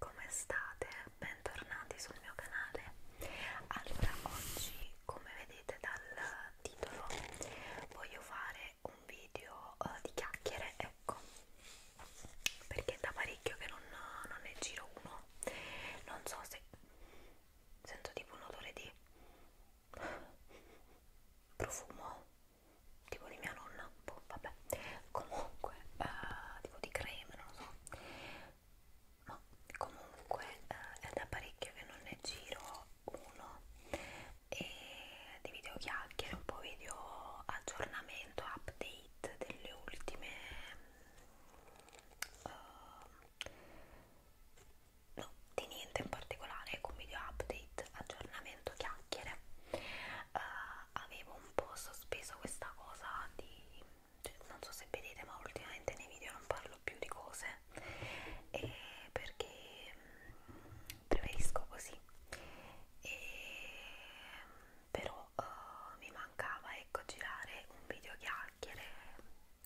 Come state? Bentornati sul mio canale. Allora, oggi, come vedete dal titolo, voglio fare un video uh, di chiacchiere, ecco, perché è da parecchio che non, non ne giro uno. Non so se sento tipo un odore di profumo tipo di mia nonna shampoo, vabbè, comunque, eh, tipo di creme, non lo so, ma comunque eh, è da parecchio che non ne giro uno e di video chiacchiere, un po' video aggiornamento, update delle ultime... Uh, no, di niente in particolare, ecco un video update, aggiornamento, chiacchiere eh, avevo un po' sospeso questa cosa di cioè, non so se vedete ma ultimamente nei video non parlo più di cose e perché mm, preferisco così e, però uh, mi mancava ecco girare un video chiacchiere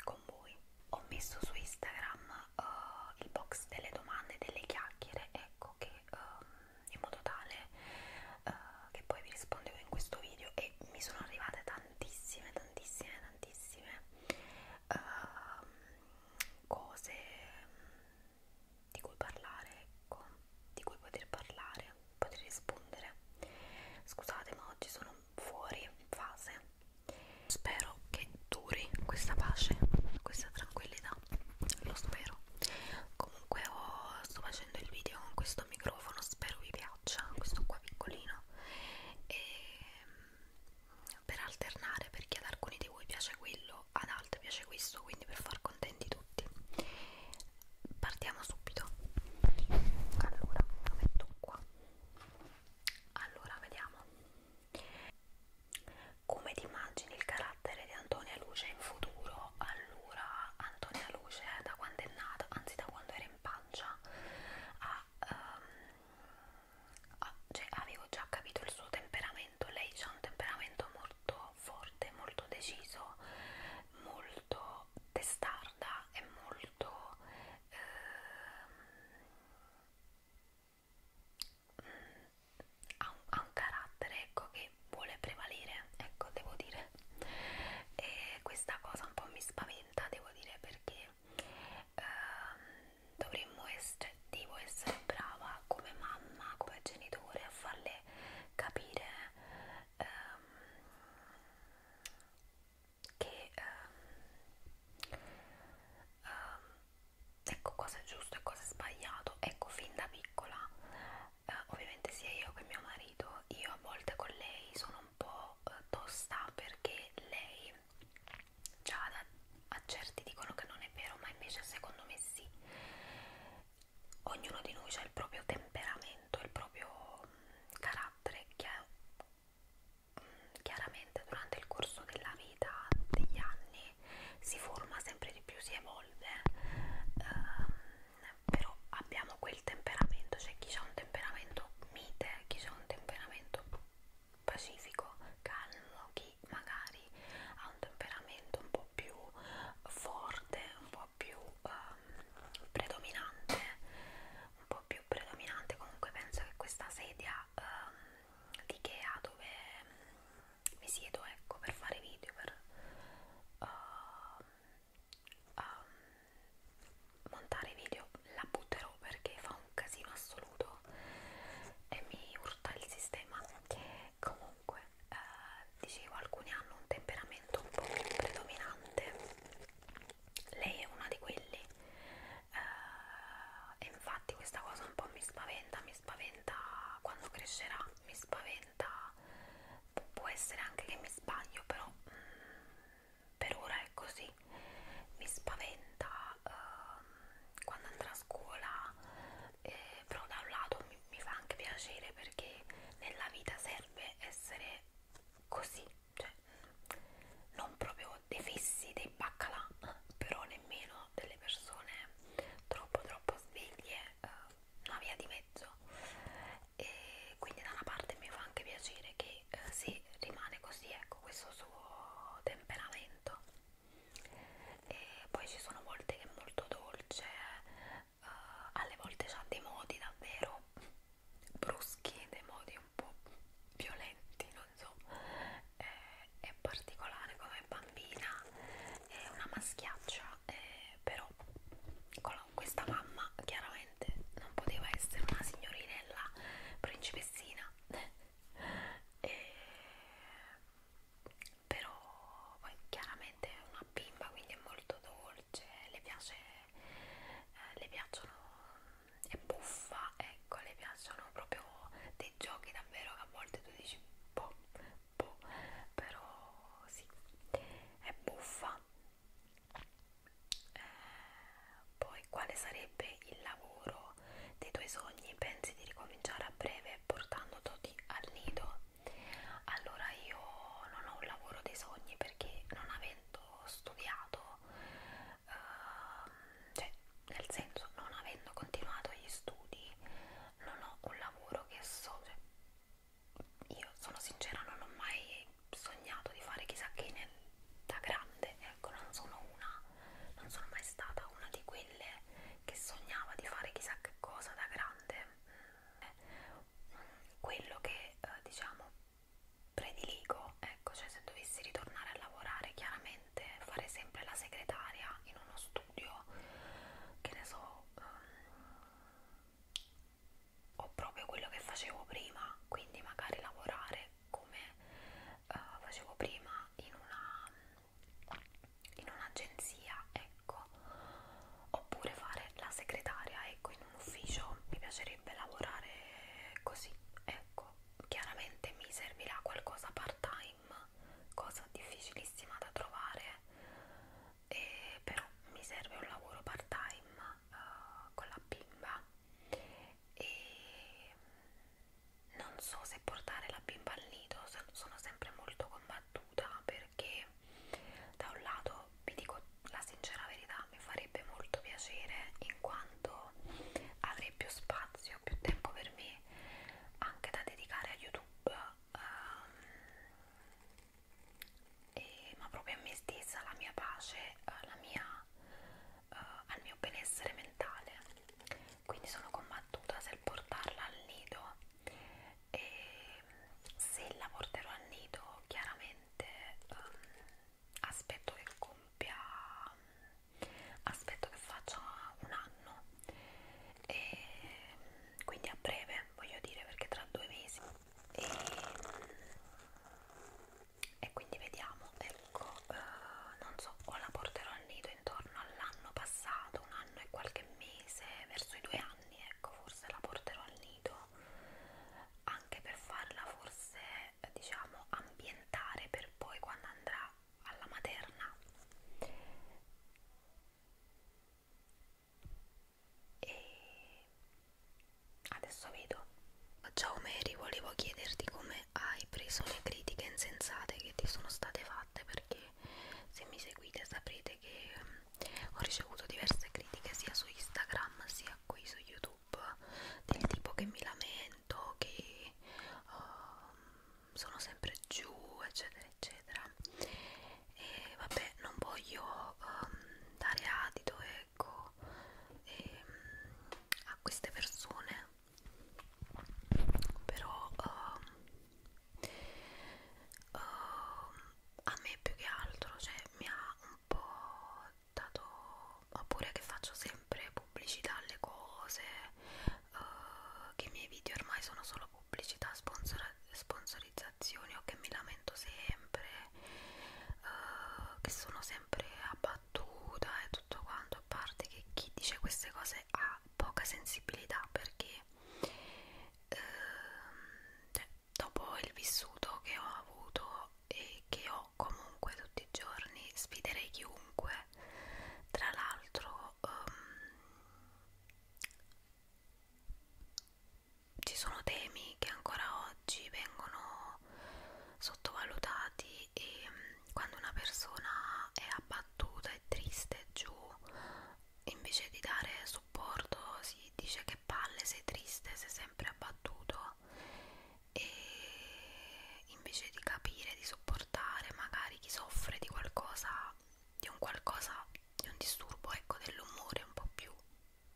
con voi ho messo su Instagram uh, il box delle domande e delle chiacchiere ecco che um, in modo tale uh, che poi vi rispondevo in questo video e mi sono arrivate tantissime, tantissime, tantissime uh, cose mm, di cui parlare, ecco, di cui poter parlare, poter rispondere. Scusate, ma oggi sono fuori fase. Spero che duri questa pace, questa tranquillità uscirà lo spero comunque ho, oh, sto facendo il video con questo microfono spero vi piaccia questo qua piccolino e mm, per alternare perché ad alcuni di voi piace quello ad altri piace questo quindi per far contenti tutti partiamo subito allora lo metto qua allora vediamo come ti immagini il carattere di Antonia Luce in futuro? Allora, Antonia Luce da quando è nata, anzi da quando era in pancia, ha, um, ha, cioè, avevo già capito il suo temperamento, lei ha un temperamento molto forte, molto deciso, molto testarda e molto... Um, ha un, ha un carattere ecco che vuole prevalere ecco devo dire e questa cosa un po' mi spaventa devo dire perché ehm, dovremmo essere devo essere brava come mamma come genitore a farle capire ehm, che ehm, ehm, ecco cosa è giusto e cosa è sbagliato ecco fin da piccola eh, ovviamente sia io che mio marito io a volte con lei sono un po' eh, tosta perché lei già da, a certi dicono che non è vero ma invece secondo me sì ognuno di noi ha il proprio temperamento il proprio mh, mm, carattere che è mm, chiaramente durante il corso della vita, degli anni, si forma sempre di più, si evolve, ehm, però abbiamo quel temperamento, c'è cioè chi ha un temperamento mite, chi ha un temperamento pacifico, calmo, chi magari ha un temperamento un po' più forte, un po' più ehm, predominante, un po' più predominante, comunque penso che questa sedia ehm, di Ikea dove mi siedo ecco per fare video per uh, um, montare video la butterò perché fa un casino assoluto e mi urta il sistema comunque uh, dicevo alcuni hanno un temperamento un po' predominante lei è una di quelli uh, eh, e infatti questa cosa un po' mi spaventa mi spaventa spaventa quando crescerà, mi spaventa, Pu può essere anche che mi sbaglio, però mm, per ora è così, mi spaventa uh, quando andrà a scuola, eh, però da un lato mi, mi fa anche piacere perché nella vita serve essere così, cioè non proprio dei fissi, dei baccalà, però nemmeno delle persone troppo troppo sveglie, eh, una via di mezzo e quindi da una parte mi fa anche piacere che eh, si rimane così ecco questo suo temperamento e poi ci sono volte che è molto dolce eh, alle volte ha dei modi davvero bruschi dei modi un po' violenti non so è, eh, è particolare come bambina, è una maschiaccia, eh, però con la, questa mamma chiaramente non poteva essere una signorinella principessina. e, eh, però poi chiaramente è una bimba quindi è molto dolce le piace eh, le piacciono è buffa ecco le piacciono proprio dei giochi davvero a volte tu dici boh, boh, però sì, è buffa. Eh, poi quale sarebbe il lavoro dei tuoi sogni? Pensi di ricominciare a breve portandoti al nido? Allora io non ho un lavoro dei sogni perché non avendo studiato eh, cioè nel senso non avendo continuato gli studi non ho un lavoro che so cioè, io sono sincera non ho mai sognato di fare chissà che nel, da grande ecco non sono una non sono mai stata una di quelle che sognava di fare chissà che cosa da grande mm, quello che eh, diciamo prediligo ecco cioè se dovessi ritornare a lavorare chiaramente niente fare sempre la segretaria in uno studio che ne so um, o proprio quello che facevo prima quindi magari lavorare come uh, facevo prima in una in un'agenzia ecco oppure fare la segretaria ecco in un ufficio mi piacerebbe lavorare così ecco chiaramente mi servirà qualcosa part time cream cosa difficilissima da trovare e però mi serve un lavoro part time uh, eh, con la bimba e non so se portare la bimba al nido sono sempre molto combattuta perché da un lato vi dico la sincera verità mi farebbe molto piacere in quanto avrei più spazio più tempo per me anche da dedicare a YouTube um, e, ma proprio a me stessa, alla mia pace, alla eh, mia, uh, al mio benessere mentale. Quindi sono combattuta se portarla al nido e se la porterò al nido chiaramente um, aspetto che compia um, aspetto che faccia un anno e quindi a breve voglio dire perché tra due mesi e, e quindi vediamo ecco eh, non so o la porterò al nido intorno all'anno passato un anno e qualche mese verso i due anni ecco forse la porterò al nido anche per farla forse diciamo ambientare per poi quando andrà alla materna e adesso vedo ciao Mary volevo chiederti come hai preso le critiche insensate che ti sono state fatte perché se mi seguite saprete che mm, ho ricevuto diverse critiche sia su Instagram sia qui su YouTube del tipo che mi lamento sento che uh, sono sempre giù eccetera eccetera e vabbè non voglio um, dare adito ecco e, um, a queste persone però uh, uh, a me più che altro cioè mi ha un po' dato oppure che faccio sempre pubblicità alle cose, uh, che i miei video ormai sono solo pubblicità, sponsor sponsorizzazioni o che mi lamento sempre, uh, che sono sempre abbattuta e tutto quanto, a parte che chi dice queste cose ha poca sensibilità perché uh, dopo il vissuto che ho avuto e che ho farò comunque tutti i giorni, sfiderei chiunque. Tra l'altro um, ci sono temi che ancora oggi vengono sottovalutati e um, quando una persona è abbattuta e triste giù, invece di dare supporto si dice che palle sei triste, sei sempre abbattuto e invece di capire, di sopportare magari chi soffre di qualcosa, di un qualcosa, di un disturbo ecco dell'umore un po' più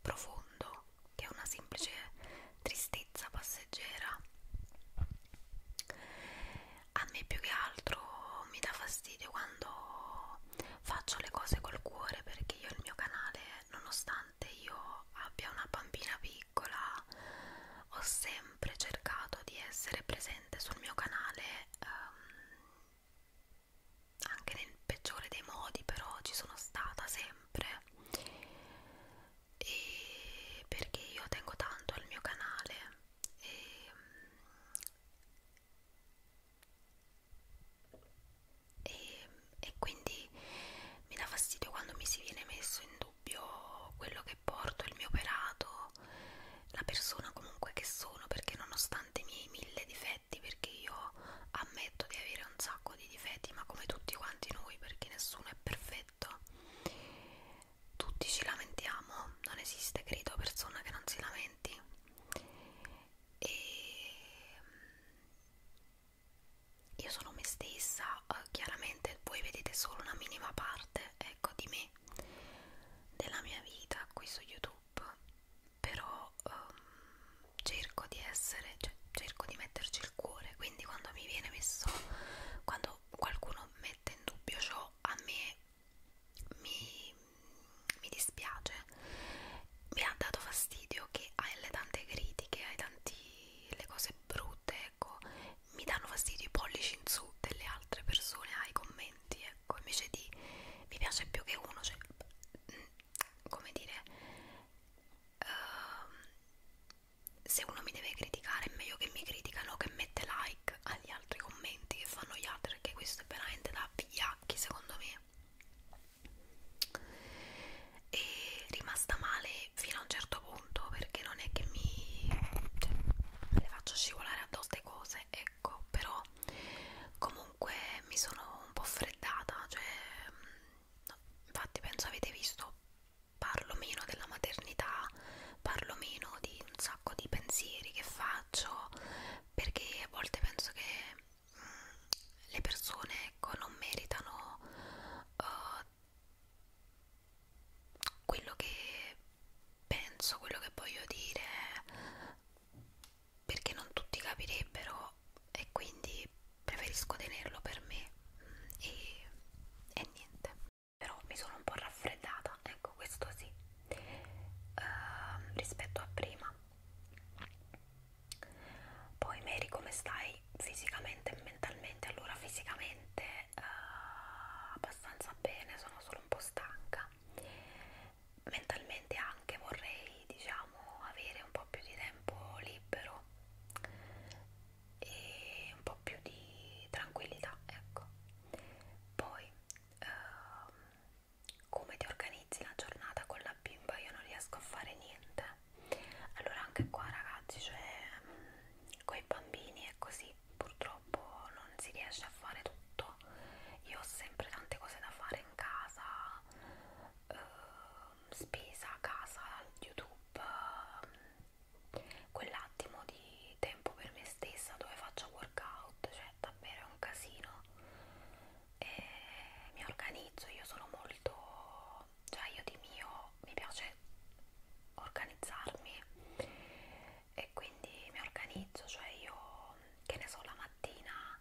profondo che è una semplice tristezza passeggera a me più che altro mi dà fastidio quando faccio le cose col cuore perché io il mio canale nonostante io abbia una bambina piccola ho sempre cercato di essere presente sul mio canale um, anche nel peggiore dei modi però ci sono stata sempre e perché io tengo tanto al mio canale e, ehm, e, e quindi mi dà fastidio quando mi si viene messo in dubbio dubbio quello che porto, il mio operato, la persona comunque che sono, perché nonostante i miei mille difetti, perché io ammetto di avere un sacco di difetti, ma come tutti quanti noi, perché nessuno è perfetto, tutti ci lamentiamo, non esiste credo persona che non si lamenti. E io sono me stessa, eh, chiaramente voi vedete solo una minima parte, ecco, di me, della mia vita qui su YouTube, però ehm, cerco di essere, cioè, cerco di metterci il cuore, quindi quando mi viene messo, quando qualcuno mette in dubbio ciò, a me mi, mi dispiace, mi ha dato fastidio che alle tante critiche, ai tanti le cose brutte tutte, ecco, mi danno fastidio i pollici in su delle altre persone ai ah, commenti, ecco, invece di mi piace più che uno, cioè, mm, come dire, uh, se uno mi deve criticare è meglio che mi criticano che mette like agli altri commenti che fanno gli altri, perché questo è veramente da pigliacchi secondo me. E rimasta male e fino a un certo punto perché non è che mi cioè, le faccio scivolare addosso queste cose ecco però comunque mi sono un po' freddata cioè no, infatti penso avete visto parlo meno della maternità parlo meno di un sacco di pensieri che faccio perché a volte penso che mh, mm, le persone ecco non meritano uh, quello che penso, quello che voglio dire, perché non tutti capirebbero e quindi preferisco tenerlo per me mm, e, e niente. Però mi sono un po' raffreddata, ecco questo sì, uh, rispetto a prima. Poi Mary come stai fisicamente e mentalmente? Allora fisicamente uh, abbastanza bene, sono solo un po' stanca. Mentalmente anche vorrei diciamo avere un po' più di tempo libero e un po' più di tranquillità, ecco. Poi uh, come ti organizzi la giornata con la bimba? Io non riesco a fare niente allora anche qua ragazzi cioè con i bambini è così purtroppo non si riesce a fare tutto io ho sempre tante cose da fare in casa eh, spesa casa youtube eh, quell'attimo di tempo per me stessa dove faccio workout cioè davvero è un casino e mi organizzo io sono molto già io di mio mi piace organizzarmi e quindi mi organizzo, cioè io che ne so la mattina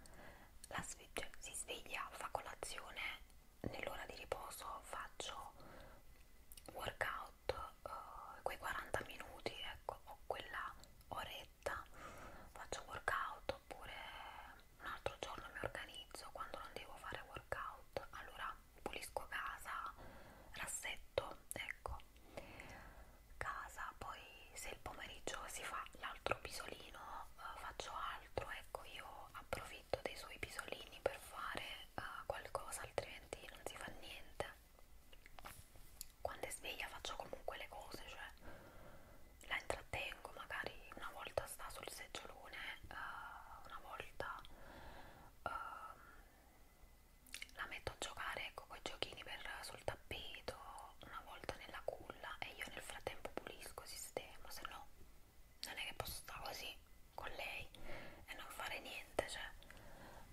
la sve cioè, si sveglia, fa colazione, nell'ora di riposo faccio workout eh, quei 40 minuti ecco, o quella oretta faccio workout oppure un altro giorno mi organizzo quando non devo fare workout, allora pulisco casa, rassetto, ecco, casa, poi se il pomeriggio si fa l'altro pisolino eh, faccio altro, ecco io approfitto dei suoi pisolini per fare eh, qualcosa, altrimenti non si fa niente. Quando è sveglia faccio comunque le cose, cioè la intrattengo magari una volta sta sul seggiolone uh, una volta uh, la metto a giocare ecco, con i giochini per, sul tappeto una volta nella culla e io nel frattempo pulisco, sistemo se no non è che posso stare così con lei e non fare niente cioè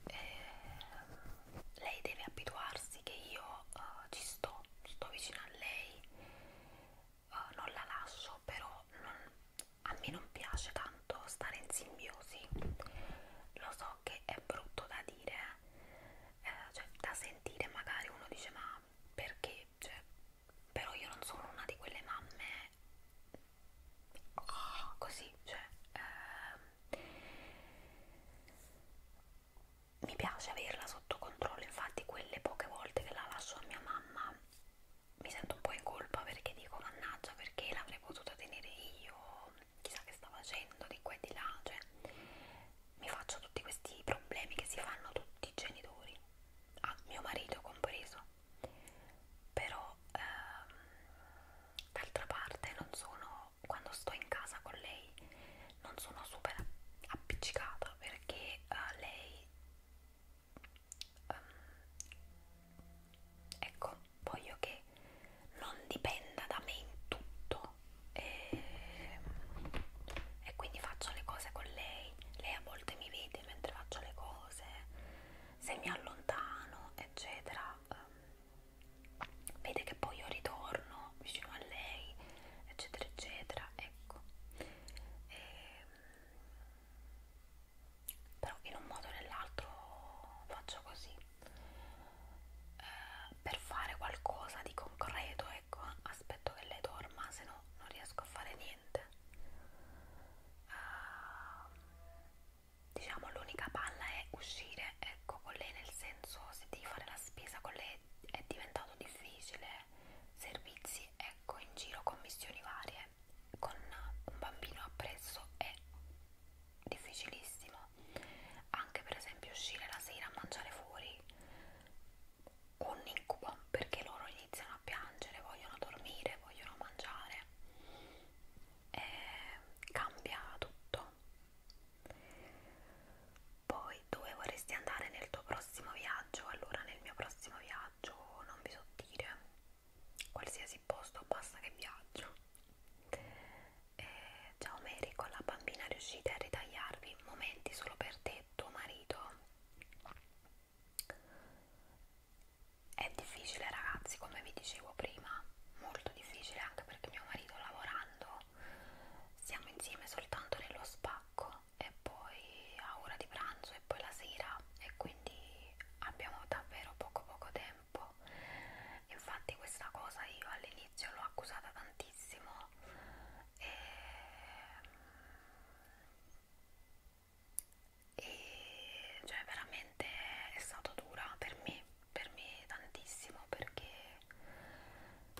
eh, lei deve abituarsi che io uh, ci sto sto vicino a lei eh, non la lascio, però non, a me non piace tanto stare in simbiosi. Lo so che è brutto da dire, eh, cioè da sentire magari uno dice ma perché? Cioè, però io non sono una di quelle mamme così, cioè... Eh, mi piace averla sotto controllo, infatti quelle poche volte che la lascio a mia mamma mi sento un po' in colpa perché dico mannaggia perché l'avrei potuta tenere io, chissà che sta facendo di qua e di là, cioè mi faccio tutti questi problemi che si fanno tutti i genitori, a ah, mio marito compreso, però ehm, d'altra parte non sono, quando sto in casa con lei non sono super appiccicata perché uh, lei um, ecco voglio che non dipenda da me in tutto e, e quindi faccio le cose con lei lei a volte mi vede mentre faccio le cose se mi allontano eccetera um, vede che poi io ritorno vicino a lei eccetera eccetera ecco e, ehm, però in un modo o nell'altro faccio così eh, per fare qualcosa di concreto ecco aspetto che lei dorma se no non riesco a fare niente eh, diciamo l'unica palla è uscire ecco con lei nel senso se devi fare la spesa con lei è diventato difficile servizi, ecco in giro commissioni varie, con un bambino appresso è difficilissimo, anche per esempio uscire la sera a mangiare fuori, un incubo perché loro iniziano a piangere, vogliono dormire, vogliono mangiare, e eh, cambia tutto. Poi voi dove vorresti andare nel tuo prossimo viaggio allora nel mio prossimo viaggio non vi so dire qualsiasi posto basta che viaggio eh, ciao Mary con la bambina riuscite a ritagliarvi momenti solo per te tuo marito è difficile ragazzi come vi dicevo prima molto difficile anche perché mio marito lavorando siamo insieme soltanto nello spacco e poi a ora di pranzo e poi la sera e quindi abbiamo davvero poco poco tempo infatti questa cosa io all'inizio l'ho accusata tantissimo e, e cioè veramente è stato dura per me per me tantissimo perché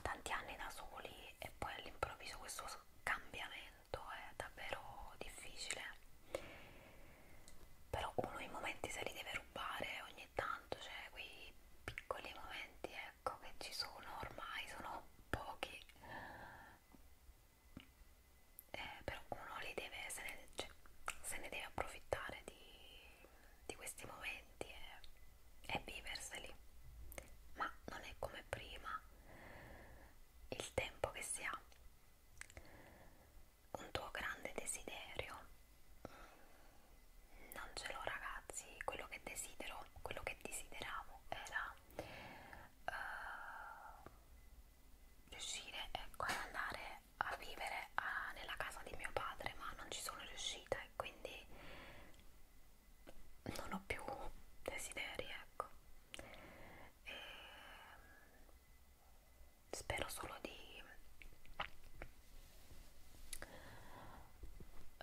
tanti anni da soli e poi all'improvviso questo cambiamento è davvero difficile però uno i momenti se li deve rubare ogni tanto cioè quei piccoli momenti ecco che ci sono ormai sono pochi eh, però uno li deve se ne, cioè, se ne deve approfittare di di questi momenti è, è viverseli, ma non è come prima il tempo che si ha. Un tuo grande desiderio, non ce l'ho ragazzi, quello che desidero, quello che desideravo era uh, riuscire ecco, ad andare a vivere a, ah, nella casa di mio padre, ma non ci sono riuscita e quindi non ho più desideri, ecco. E mm, spero solo di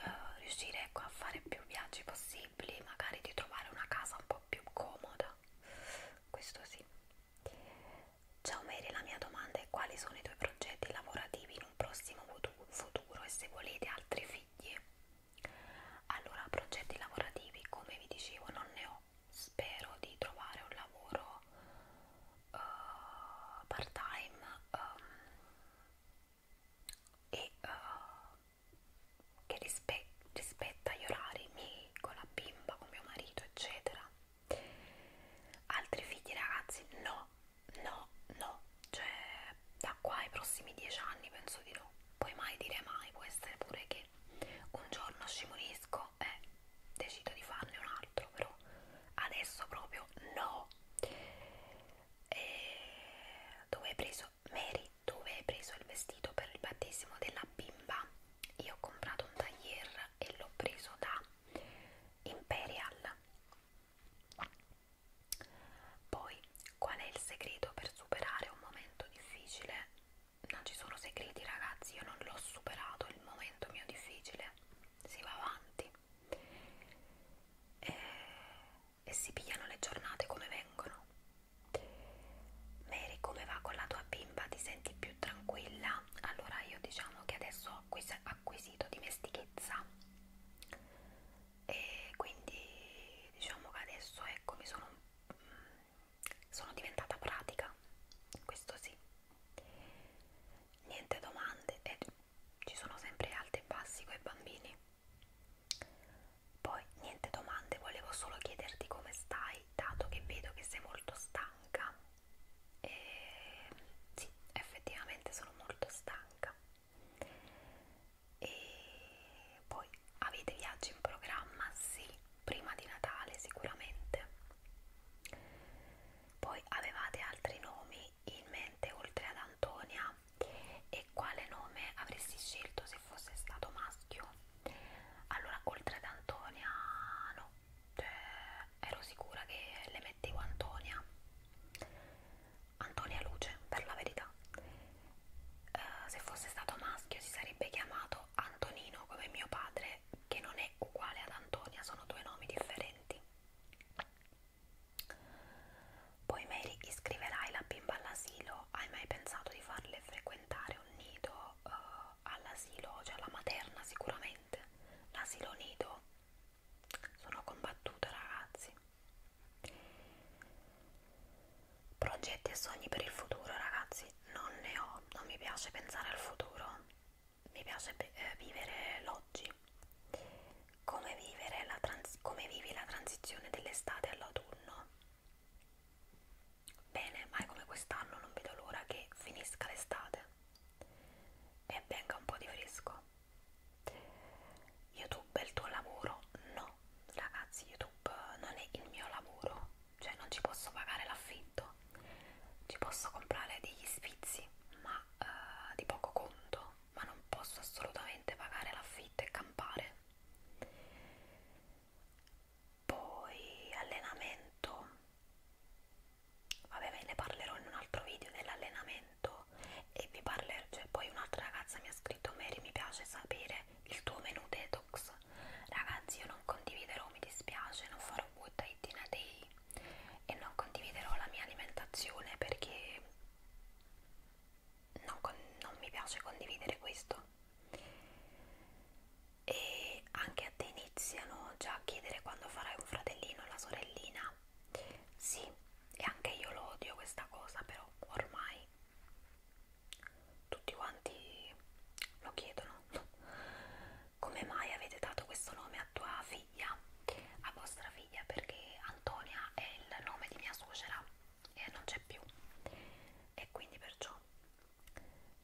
uh, riuscire ecco, a fare più viaggi possibili, magari di trovare una casa un po' più comoda. Questo sì. Ciao Mary, la mia domanda è quali sono i tuoi progetti lavorativi in un prossimo futuro? futuro e se volete altri figli allora progetti lavorativi come vi dicevo non ne ho spero di trovare un lavoro uh, eh, part time um, ehm, e uh, che rispe rispetta gli orari miei con la bimba con mio marito eccetera altri figli ragazzi no No, no, cioè da qua ai prossimi dieci anni penso di no. Puoi mai dire mai, può essere pure che un giorno scivolisco e decido di farne un altro, però adesso proprio no. E dove hai preso Mary? Dove hai preso il vestito per il battesimo della bimba? Io ho comprato un tailleur e l'ho preso da Imperial poi, qual è il segreto per superare un momento difficile? Non ci sono segreti, ragazzi, io non l'ho superato il momento mio difficile, si va avanti e, eh, e si pigliano le giornate come vengono. Mary, come va con la tua bimba? Ti senti più tranquilla? Allora, io diciamo che adesso ho acquisito dimestichezza e quindi diciamo che adesso ecco mi sono, mm, sono diventata pratica questo sì niente domande e ci sono sempre alti e bassi con i bambini poi niente domande volevo solo chiederti come stai dato che vedo che sei molto stanca e sì, effettivamente sono molto stanca e poi avete viaggi in programma? Sì, prima di Natale sicuramente poi avevate altri nomi in mente oltre ad Antonia e quale nome avresti scelto se fosse stato maschio? Allora, oltre ad Antonia, no, cioè, ero sicura che le mettevo Antonia Antonia Luce per la verità uh, se fosse stato maschio si sarebbe chiamato Antonino come mio padre che non è uguale ad Antonia sono due nomi differenti poi Mary iscriverai la bimba all'asilo hai mai pensato di farle frequentare un nido uh, all'asilo cioè alla materna sicuramente l'asilo nido sono combattuta ragazzi progetti e sogni per il futuro ragazzi non ne ho non mi piace pensare al futuro mi piace eh, vivere l'oggi come, vivere la come vivi la transizione dell'estate all'autunno bene mai come quest'anno non vedo l'ora che finisca l'estate e venga un po' di fresco. YouTube è il tuo lavoro? No, ragazzi, YouTube non è il mio lavoro, cioè non ci posso pagare l'affitto, ci posso comprare degli sfizi, ma eh, di poco conto, ma non posso assolutamente pagare l'affitto e campare. Poi allenamento vabbè ve ne parlerò in un altro video dell'allenamento e vi parlerò, cioè poi un'altra ragazza mi ha scritto Mary mi piace sapere il tuo menù detox ragazzi io non condividerò, mi dispiace, non farò butta in a day e non condividerò la mia alimentazione perché non, con, non mi piace condividere questo e magari anche a te iniziano già a chiedere quando farai un fratellino o la sorellina. Sì, e anche io lo odio questa cosa, però ormai tutti quanti lo chiedono. Come mai avete dato questo nome a tua figlia? A vostra figlia, perché Antonia è il nome di mia suocera e non c'è più. E quindi perciò.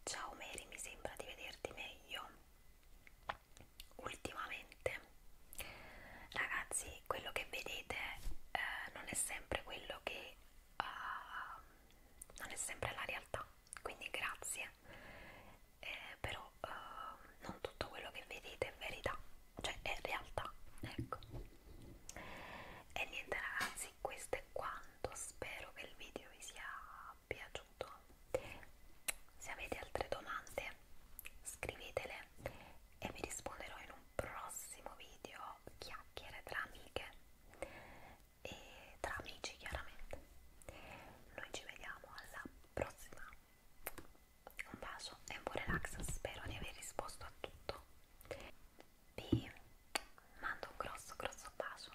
Ciao Mary, mi sembra di vederti meglio ultimamente ragazzi quello che vedete eh, non è sempre quello che uh, non è sempre la realtà quindi grazie eh, però uh, non tutto quello che vedete è verità cioè è realtà ecco e niente ragazzi questo è quanto spero che il video vi sia piaciuto se avete altre domande scrivetele e vi risponderò in un prossimo video chiacchiere tra amiche e tra amici chiaramente noi ci vediamo alla prossima un bacio e un buon relax spero di aver risposto a tutto vi mando un grosso grosso bacio